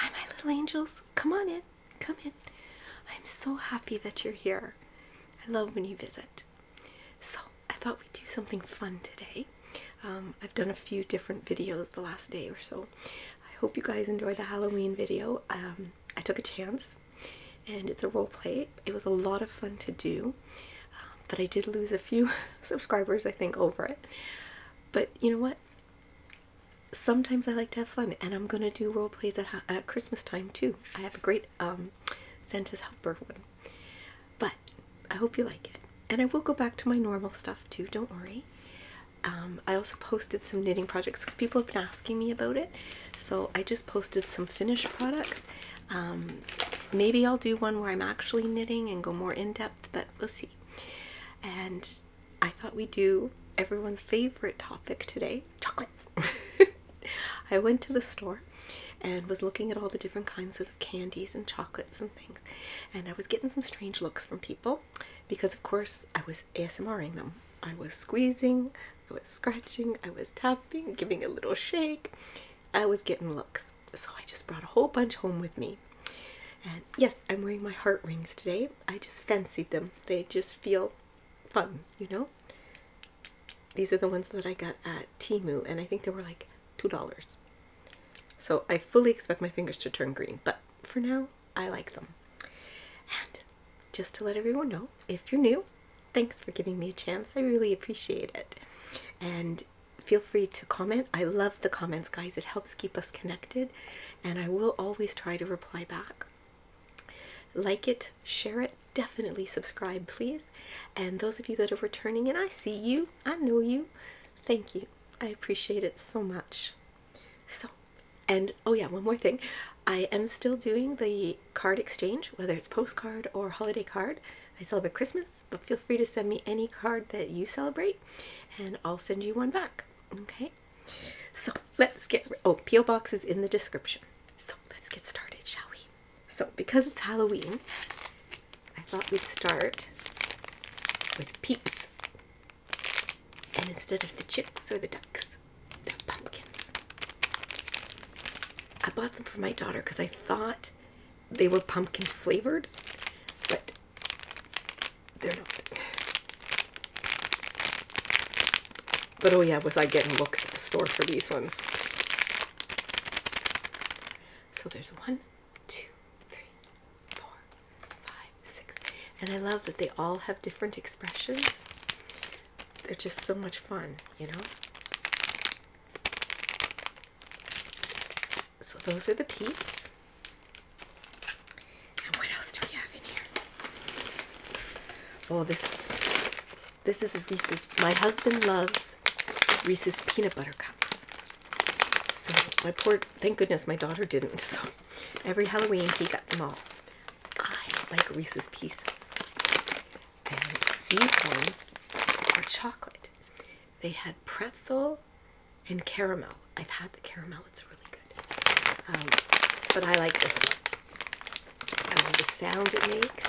Hi, my little angels. Come on in. Come in. I'm so happy that you're here. I love when you visit. So, I thought we'd do something fun today. Um, I've done a few different videos the last day or so. I hope you guys enjoy the Halloween video. Um, I took a chance and it's a role play. It was a lot of fun to do, um, but I did lose a few subscribers, I think, over it. But you know what? sometimes I like to have fun, and I'm gonna do role plays at, Christmas time too. I have a great um, Santa's Helper one, but I hope you like it. And I will go back to my normal stuff too. Don't worry. Um, I also posted some knitting projects because people have been asking me about it. So I just posted some finished products. Um, maybe I'll do one where I'm actually knitting and go more in depth, but we'll see. And I thought we'd do everyone's favorite topic today chocolate. I went to the store and was looking at all the different kinds of candies and chocolates and things, and I was getting some strange looks from people because, of course, I was ASMRing them. I was squeezing, I was scratching, I was tapping, giving a little shake. I was getting looks. So I just brought a whole bunch home with me and yes, I'm wearing my heart rings today. I just fancied them. They just feel fun, you know? These are the ones that I got at Timu, and I think they were like $2. So I fully expect my fingers to turn green, but for now, I like them. And just to let everyone know, if you're new, thanks for giving me a chance. I really appreciate it. And feel free to comment. I love the comments, guys. It helps keep us connected and I will always try to reply back. Like it, share it, definitely subscribe, please. And those of you that are returning, and I see you, I know you, thank you. I appreciate it so much. So, and oh, yeah, one more thing. I am still doing the card exchange, whether it's postcard or holiday card. I celebrate Christmas, but feel free to send me any card that you celebrate, and I'll send you one back. Okay, so let's get oh PO boxes in the description. So let's get started, shall we? So because it's Halloween, I thought we'd start with peeps, and instead of the chicks or the ducks, they're pumpkins. I bought them for my daughter because I thought they were pumpkin flavored, but but oh yeah, was I getting books at the store for these ones? So there's one, two, three, four, five, six. And I love that they all have different expressions. They're just so much fun, you know? So those are the peeps. And what else do we have in here? Oh, this this is Reese's. My husband loves Reese's peanut butter cups. So my poor, thank goodness my daughter didn't. So every Halloween he got them all. I like Reese's Pieces. And these ones are chocolate. They had pretzel and caramel. I've had the caramel, it's really good. Um, but I like this one. I love the sound it makes.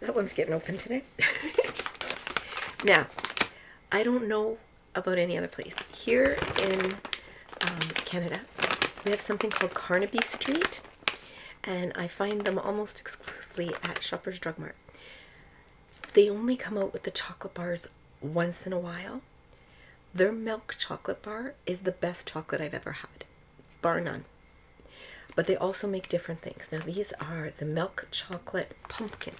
That one's getting open today. now, I don't know about any other place. Here in um, Canada, we have something called Carnaby Street, and I find them almost exclusively at Shoppers Drug Mart. They only come out with the chocolate bars once in a while. Their milk chocolate bar is the best chocolate I've ever had, bar none. But they also make different things. Now, these are the milk chocolate pumpkins.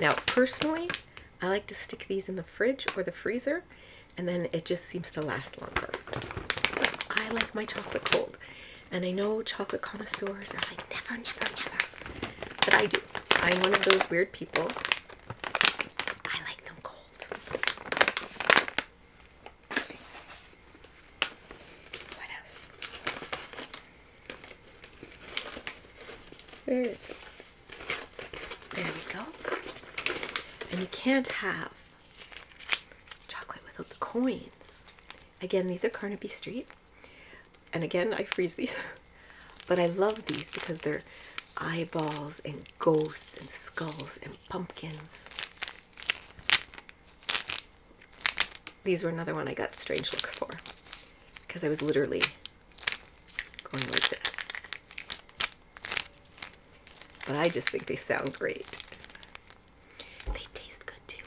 Now, personally, I like to stick these in the fridge or the freezer, and then it just seems to last longer. I like my chocolate cold, and I know chocolate connoisseurs are like, never, never, never, but I do. I'm one of those weird people I like them cold. What else? Where is it? There we go. And you can't have chocolate without the coins. Again, these are Carnaby Street and again I freeze these but I love these because they're eyeballs and ghosts and skulls and pumpkins these were another one I got strange looks for because I was literally going like this but I just think they sound great they taste good too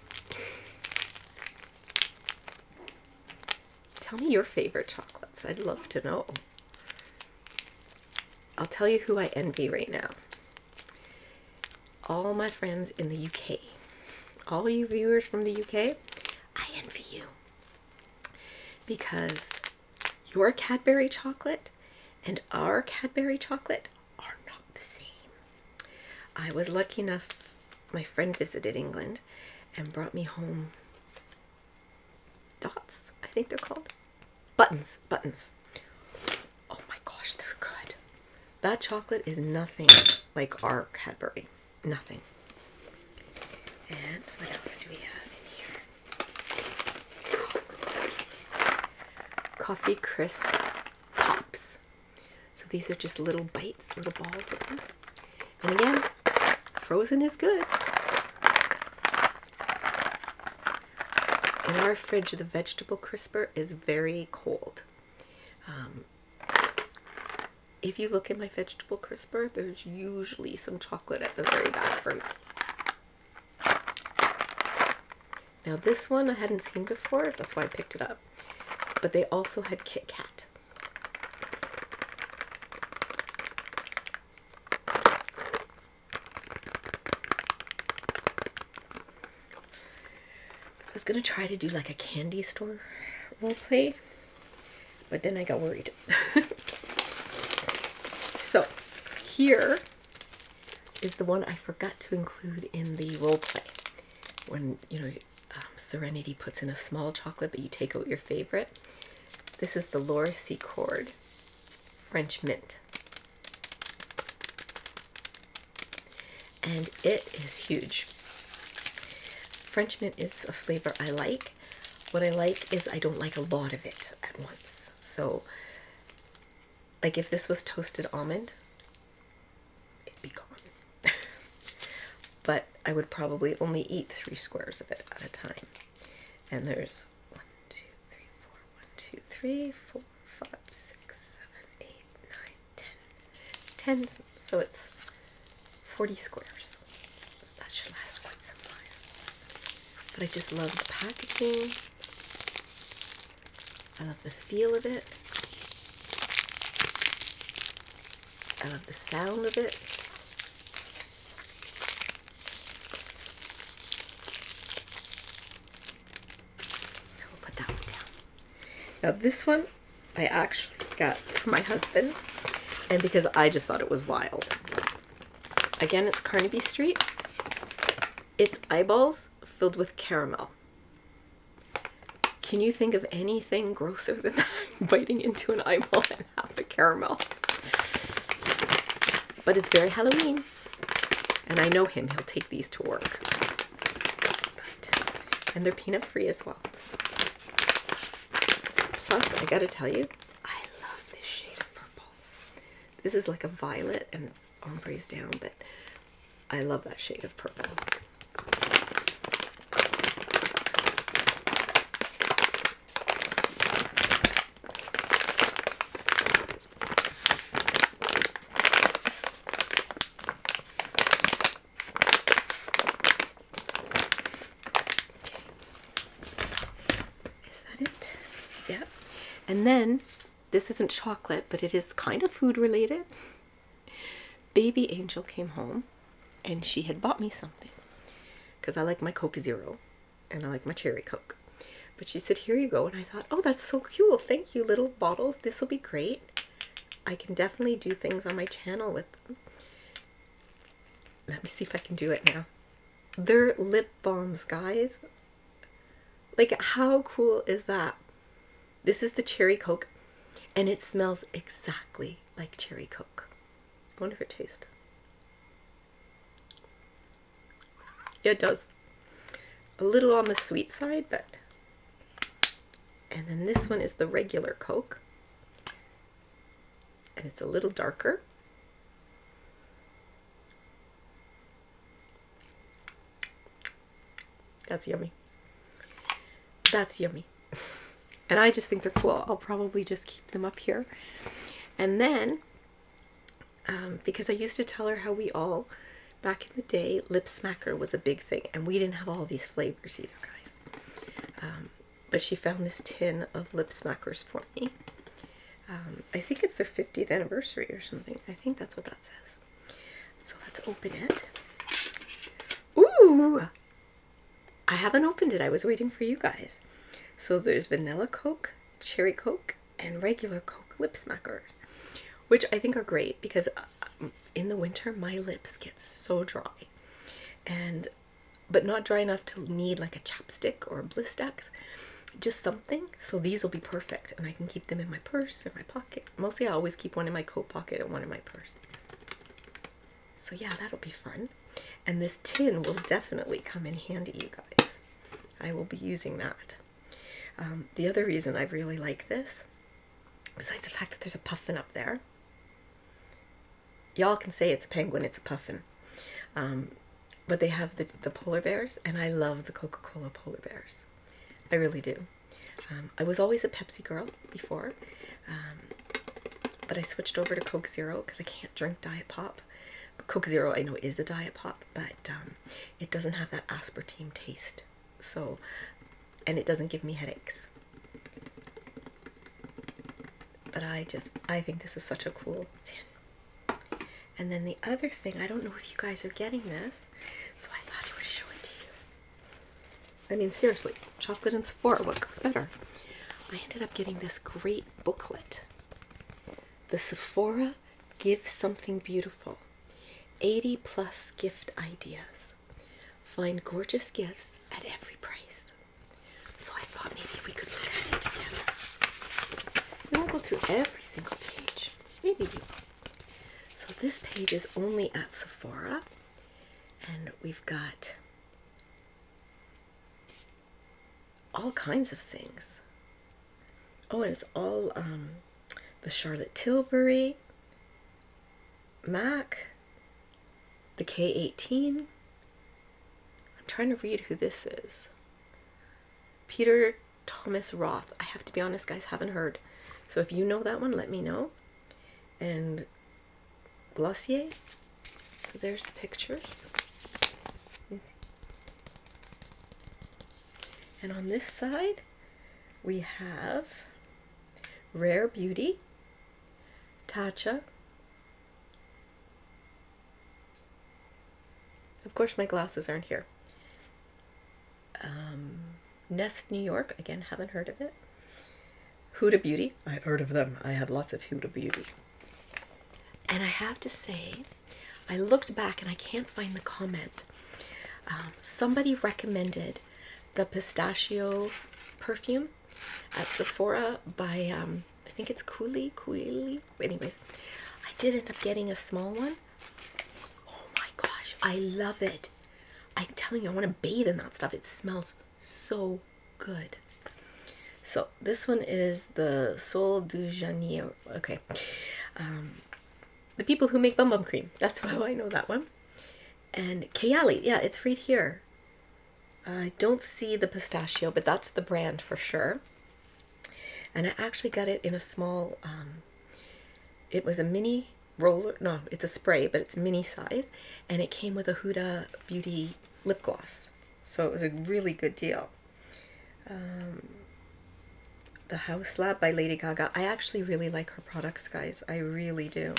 Tell me your favorite chocolates. I'd love to know. I'll tell you who I envy right now. All my friends in the UK. All you viewers from the UK, I envy you. Because your Cadbury chocolate and our Cadbury chocolate are not the same. I was lucky enough, my friend visited England and brought me home dots. I think they're called buttons. Buttons. Oh my gosh, they're good. That chocolate is nothing like our Cadbury. Nothing. And what else do we have in here? Coffee crisp pops. So these are just little bites, little balls of them. And again, Frozen is good. In our fridge, the vegetable crisper is very cold. Um, if you look in my vegetable crisper, there's usually some chocolate at the very back From Now this one I hadn't seen before, that's why I picked it up. But they also had Kit Kat. I was gonna try to do like a candy store role play, but then I got worried. so here is the one I forgot to include in the role play when you know um, Serenity puts in a small chocolate, but you take out your favorite. This is the Laura Secord French Mint. And it is huge. French mint is a flavor I like. What I like is I don't like a lot of it at once. So, like if this was toasted almond, it'd be gone. but I would probably only eat three squares of it at a time. And there's one, two, three, four, one, two, three, four, five, six, seven, eight, nine, ten. Ten, so it's 40 squares. that should last quite some time. But I just love the packaging. I love the feel of it. I love the sound of it. So will put that one down. Now this one I actually got for my husband and because I just thought it was wild. Again, it's Carnaby Street. It's eyeballs filled with caramel. Can you think of anything grosser than biting into an eyeball have the caramel. But it's very Halloween. And I know him. He'll take these to work. and they're peanut free as well. Plus, I gotta tell you, I love this shade of purple. This is like a violet and ombres down, but I love that shade of purple. Is that it? Yep. And then this isn't chocolate, but it is kind of food related. Baby Angel came home and she had bought me something because I like my Coke Zero and I like my Cherry Coke. But she said, Here you go. And I thought, Oh, that's so cool. Thank you, little bottles. This will be great. I can definitely do things on my channel with them. Let me see if I can do it now. They're lip balms, guys. Like, how cool is that? This is the Cherry Coke, and it smells exactly like Cherry Coke. I wonder if it tastes. Yeah, it does. A little on the sweet side, but... And then this one is the regular Coke. And it's a little darker. That's yummy. That's yummy and I just think they're cool. I'll probably just keep them up here. And then, um, because I used to tell her how we all, back in the day, Lip Smacker was a big thing, and we didn't have all these flavors either, guys. Um, but she found this tin of Lip Smackers for me. Um, I think it's their 50th anniversary or something. I think that's what that says. So let's open it. Ooh! I haven't opened it. I was waiting for you guys. So there's vanilla Coke, cherry Coke, and regular Coke lip smacker, which I think are great because uh, in the winter my lips get so dry, and but not dry enough to need like a chapstick or a Blistex, just something. So these will be perfect, and I can keep them in my purse or my pocket. Mostly, I always keep one in my coat pocket and one in my purse. So, yeah, that'll be fun. And this tin will definitely come in handy, you guys. I will be using that. Um, the other reason I really like this, besides the fact that there's a puffin up there, y'all can say it's a penguin, it's a puffin. Um, but they have the, the polar bears, and I love the Coca Cola polar bears. I really do. Um, I was always a Pepsi girl before. But I switched over to Coke Zero because I can't drink Diet Pop. Coke Zero I know is a Diet Pop, but um, it doesn't have that aspartame taste. So, and it doesn't give me headaches. But I just, I think this is such a cool tin. And then the other thing, I don't know if you guys are getting this, so I thought I would show it to you. I mean, seriously, chocolate and Sephora, what goes better? I ended up getting this great booklet. The Sephora Give Something Beautiful 80 Plus Gift Ideas. Find gorgeous gifts at every price. So I thought maybe we could look at it together. We won't go through every single page. Maybe we will. So this page is only at Sephora. And we've got all kinds of things. Oh, and it's all um, the Charlotte Tilbury, Mac, the K18. I'm trying to read who this is. Peter Thomas Roth. I have to be honest, guys, haven't heard. So if you know that one, let me know. And Glossier. So there's the pictures. And on this side, we have Rare Beauty, Tatcha. Of course, my glasses aren't here. Um, Nest New York, again, haven't heard of it. Huda Beauty. I've heard of them. I have lots of Huda Beauty. And I have to say, I looked back and I can't find the comment. Um, somebody recommended the pistachio perfume at Sephora by, um, I think it's Cooley, Cooley. Anyways, I did end up getting a small one. Oh my gosh, I love it. I'm telling you, I want to bathe in that stuff. It smells so good. So this one is the Sole du Janeiro. Okay. Um, the people who make bum bum cream. That's how I know that one. And Kayali. Yeah, it's right here. I don't see the pistachio, but that's the brand for sure. And I actually got it in a small, um, it was a mini roller, no, it's a spray, but it's mini size. And it came with a Huda Beauty lip gloss. So it was a really good deal. Um, the House Lab by Lady Gaga. I actually really like her products, guys. I really do.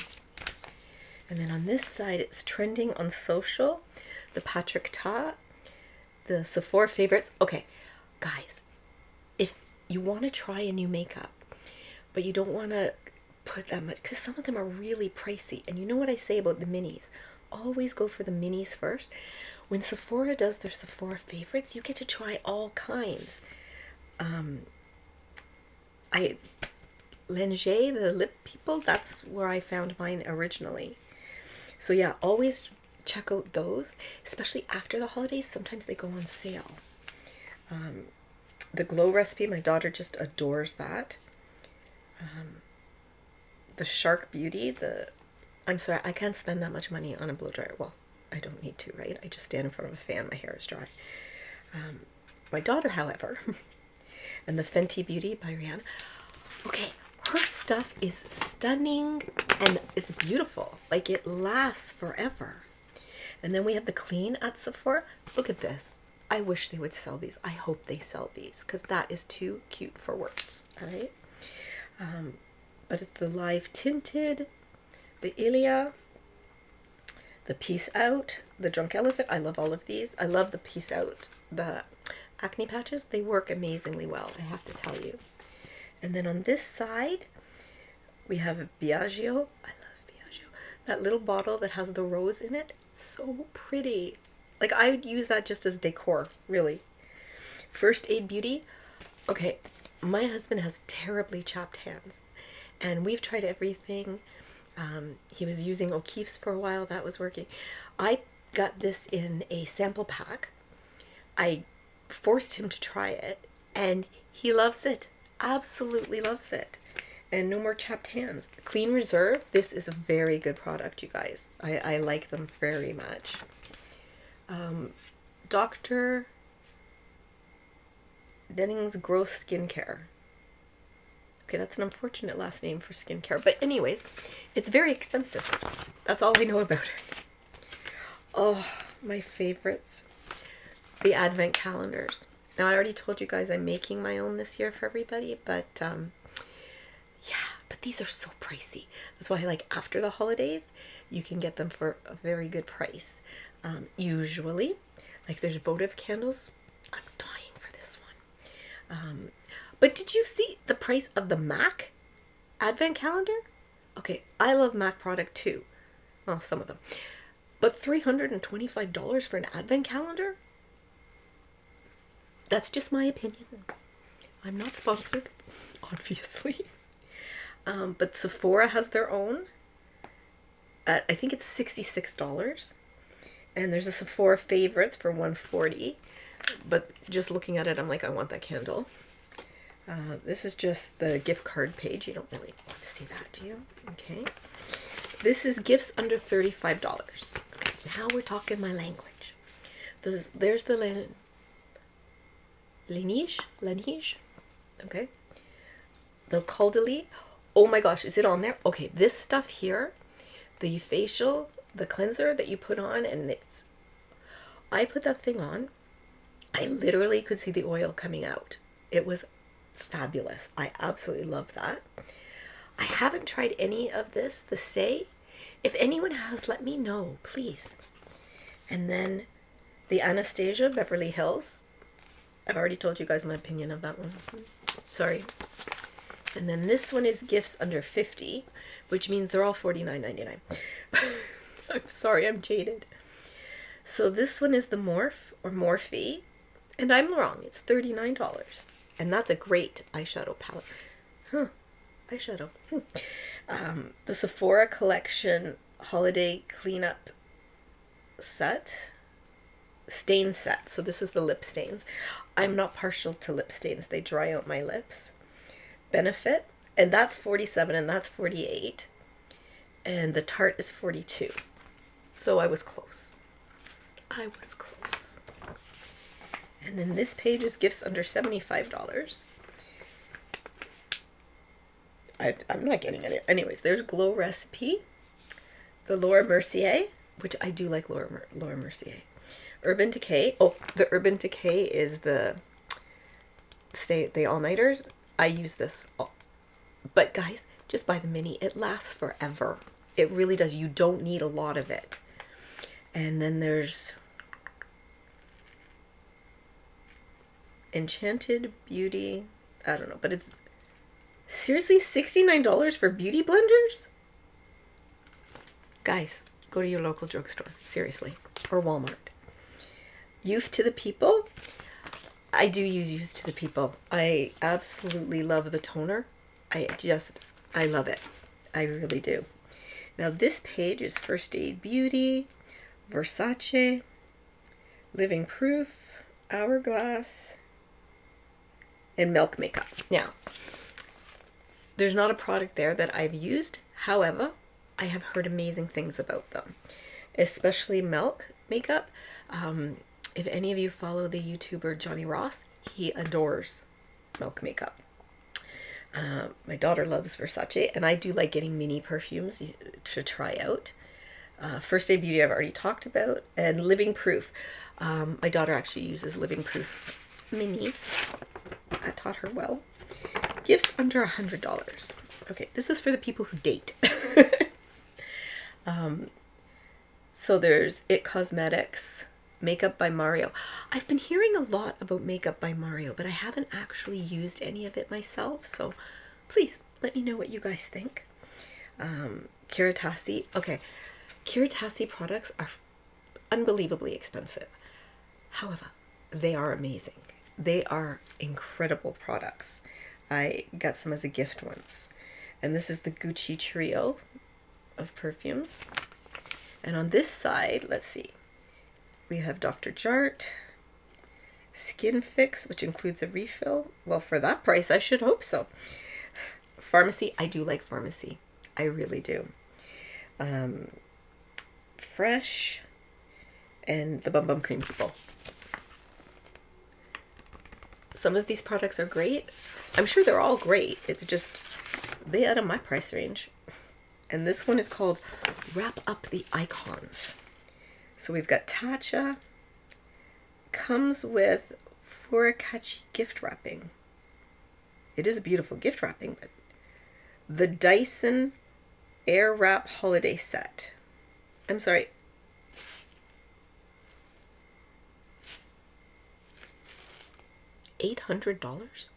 And then on this side, it's trending on social. The Patrick Ta, the Sephora favorites. Okay, guys, if you want to try a new makeup, but you don't want to put that much because some of them are really pricey. And you know what I say about the minis? Always go for the minis first. When Sephora does their Sephora favorites, you get to try all kinds. Um, I Langer, the lip people, that's where I found mine originally. So yeah, always check out those, especially after the holidays. Sometimes they go on sale. Um, the glow recipe, my daughter just adores that. Um, the Shark Beauty, the I'm sorry, I can't spend that much money on a blow dryer. Well, I don't need to, right? I just stand in front of a fan, my hair is dry. Um, my daughter, however, and the Fenty Beauty by Rihanna. Okay, her stuff is stunning and it's beautiful. Like it lasts forever. And then we have the clean at Sephora. Look at this. I wish they would sell these. I hope they sell these because that is too cute for words. All right. Um, but it's the live tinted, the Ilia, the Peace Out, the Drunk Elephant. I love all of these. I love the Peace Out, the acne patches. They work amazingly well, I have to tell you. And then on this side, we have Biagio. I love Biagio. That little bottle that has the rose in it so pretty. Like I would use that just as decor, really. First Aid Beauty. Okay, my husband has terribly chopped hands and we've tried everything. Um, he was using O'Keefe's for a while, that was working. I got this in a sample pack. I forced him to try it and he loves it, absolutely loves it and no more chapped hands. Clean Reserve, this is a very good product, you guys. I, I like them very much. Um, Dr. Denning's Gross Skincare. Okay, that's an unfortunate last name for skincare. But anyways, it's very expensive. That's all I know about it. Oh, my favorites. The advent calendars. Now, I already told you guys I'm making my own this year for everybody, but um, yeah, but these are so pricey. That's why, like, after the holidays, you can get them for a very good price. Um, usually, like, there's votive candles. I'm dying for this one. Um, but did you see the price of the MAC Advent calendar? Okay, I love MAC product too. Well, some of them. But $325 for an advent calendar? That's just my opinion. I'm not sponsored, obviously. Um, but Sephora has their own. I think it's $66. And there's a Sephora Favorites for 140 But just looking at it, I'm like, I want that candle. Uh, this is just the gift card page. You don't really want to see that, do you? Okay. This is gifts under $35. Okay, now we're talking my language. There's, there's the lin lineage, lineage, okay. The caudalie. Oh my gosh, is it on there? Okay, this stuff here, the facial, the cleanser that you put on, and it's, I put that thing on. I literally could see the oil coming out. It was fabulous. I absolutely love that. I haven't tried any of this, the Say. If anyone has, let me know, please. And then the Anastasia Beverly Hills. I've already told you guys my opinion of that one. Sorry. And then this one is gifts under 50, which means they're all $49.99. I'm sorry, I'm jaded. So this one is the Morph or Morphe and I'm wrong, it's $39. And that's a great eyeshadow palette. Huh, eyeshadow. Hmm. Um, the Sephora Collection Holiday Cleanup Set. Stain set. So this is the lip stains. I'm not partial to lip stains. They dry out my lips. Benefit. And that's 47 and that's 48. And the Tarte is 42. So I was close. I was close. And then this page is gifts under $75. I, am not getting it. Anyways, there's Glow Recipe, the Laura Mercier, which I do like Laura, Laura Mercier. Urban Decay. Oh, the Urban Decay is the stay the all-nighter. I use this. but guys, just buy the mini. It lasts forever. It really does. You don't need a lot of it. And then there's Enchanted Beauty. I don't know, but it's seriously $69 for beauty blenders? Guys, go to your local drugstore, seriously, or Walmart. Youth to the People. I do use Youth to the People. I absolutely love the toner. I just, I love it. I really do. Now this page is First Aid Beauty, Versace, Living Proof, Hourglass, and Milk Makeup. Now, there's not a product there that I've used. However, I have heard amazing things about them, especially Milk Makeup. Um, if any of you follow the YouTuber Johnny Ross, he adores milk makeup. Um, my daughter loves Versace, and I do like getting mini perfumes to try out. Uh, First Day Beauty, I've already talked about, and Living Proof. Um, my daughter actually uses Living Proof minis. I taught her well. Gifts under a $100. Okay, this is for the people who date. Um, so there's It Cosmetics, Makeup by Mario. I've been hearing a lot about Makeup by Mario, but I haven't actually used any of it myself. So please let me know what you guys think. Um, Okay, Kiritasi products are unbelievably expensive. However, they are amazing. They are incredible products. I got some as a gift once. And this is the Gucci Trio of perfumes. And on this side, let's see, we have Dr. Jart, Skin Fix, which includes a refill. Well, for that price, I should hope so. Pharmacy, I do like pharmacy. I really do. Um, fresh and the Bum Bum Cream People some of these products are great. I'm sure they're all great. It's just they out of my price range. And this one is called Wrap Up the Icons. So we've got Tatcha. Comes with Furikachi gift wrapping. It is a beautiful gift wrapping, but the Dyson Air Wrap Holiday Set. I'm sorry. Eight hundred dollars?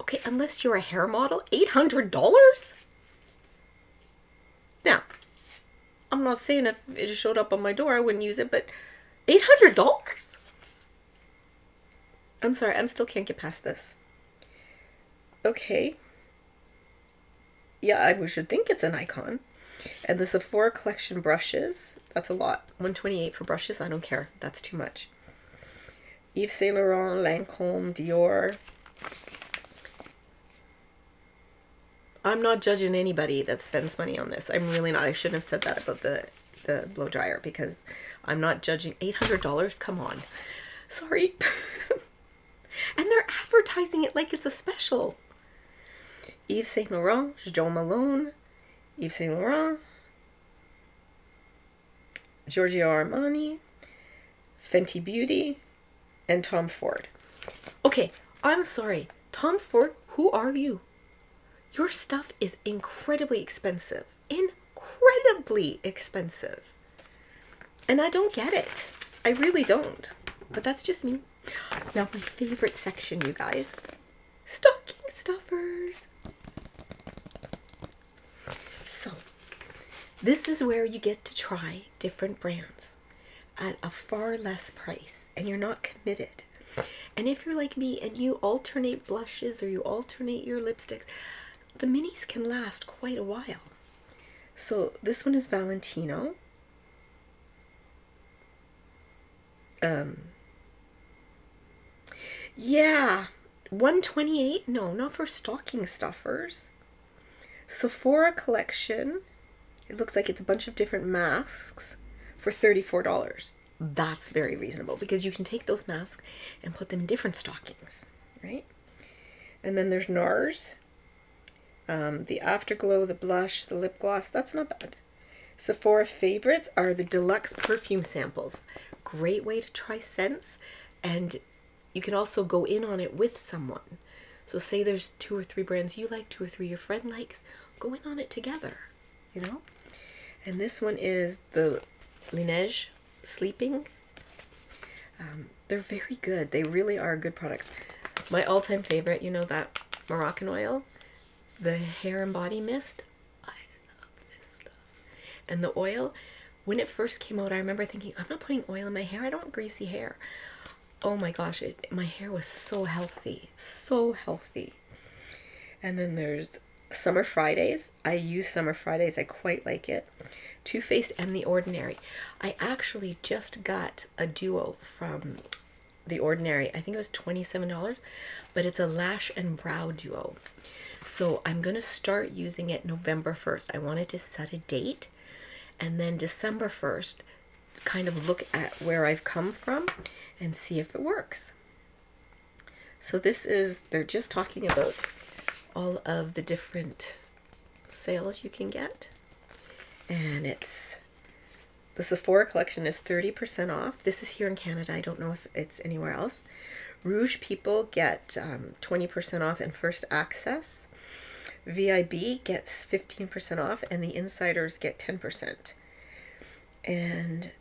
Okay, unless you're a hair model, eight hundred dollars? Now, I'm not saying if it showed up on my door I wouldn't use it, but eight hundred dollars? I'm sorry, I'm still can't get past this. Okay yeah, we should think it's an icon. And the Sephora Collection brushes, that's a lot. 128 for brushes, I don't care. That's too much. Yves Saint Laurent, Lancome, Dior. I'm not judging anybody that spends money on this. I'm really not. I shouldn't have said that about the, the blow dryer because I'm not judging. $800? Come on. Sorry. And they're advertising it like it's a special. Yves Saint Laurent, Jean Malone, Yves Saint Laurent, Giorgio Armani, Fenty Beauty, and Tom Ford. Okay, I'm sorry. Tom Ford, who are you? Your stuff is incredibly expensive. Incredibly expensive. And I don't get it. I really don't. But that's just me. Now, my favorite section, you guys stocking stuffers. So, this is where you get to try different brands at a far less price and you're not committed. And if you're like me and you alternate blushes or you alternate your lipsticks, the minis can last quite a while. So this one is Valentino. Um, yeah, 128? No, not for stocking stuffers. Sephora collection. It looks like it's a bunch of different masks for $34. That's very reasonable because you can take those masks and put them in different stockings, right? And then there's NARS, um, the Afterglow, the blush, the lip gloss, that's not bad. Sephora favorites are the deluxe perfume samples. Great way to try scents, and you can also go in on it with someone. So say there's two or three brands you like, two or three your friend likes, go in on it together, you know? And this one is the Laneige Sleeping. Um, they're very good. They really are good products. My all-time favorite, you know that Moroccan oil, the hair and body mist. I love this stuff. And the oil, when it first came out, I remember thinking, I'm not putting oil in my hair. I don't want greasy hair. Oh my gosh, my hair was so healthy, so healthy. And then there's Summer Fridays. I use Summer Fridays. I quite like it. Too Faced and The Ordinary. I actually just got a duo from The Ordinary. I think it was $27, but it's a lash and brow duo. So I'm going to start using it November 1st. I wanted to set a date and then December 1st kind of look at where I've come from and see if it works. So this is, they're just talking about all of the different sales you can get. And it's the Sephora collection is 30% off. This is here in Canada. I don't know if it's anywhere else. Rouge people get 20% um, off in first access. VIB gets 15% off and the insiders get 10%. And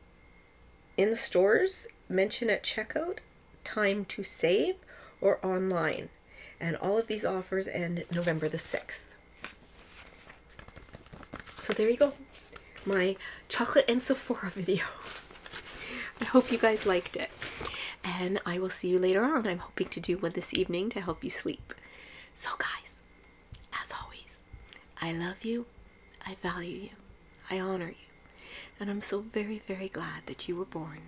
in stores, mention at checkout, time to save, or online. And all of these offers end November the 6th. So there you go. My chocolate and Sephora video. I hope you guys liked it. And I will see you later on. I'm hoping to do one this evening to help you sleep. So guys, as always, I love you. I value you. I honor you. And I'm so very, very glad that you were born.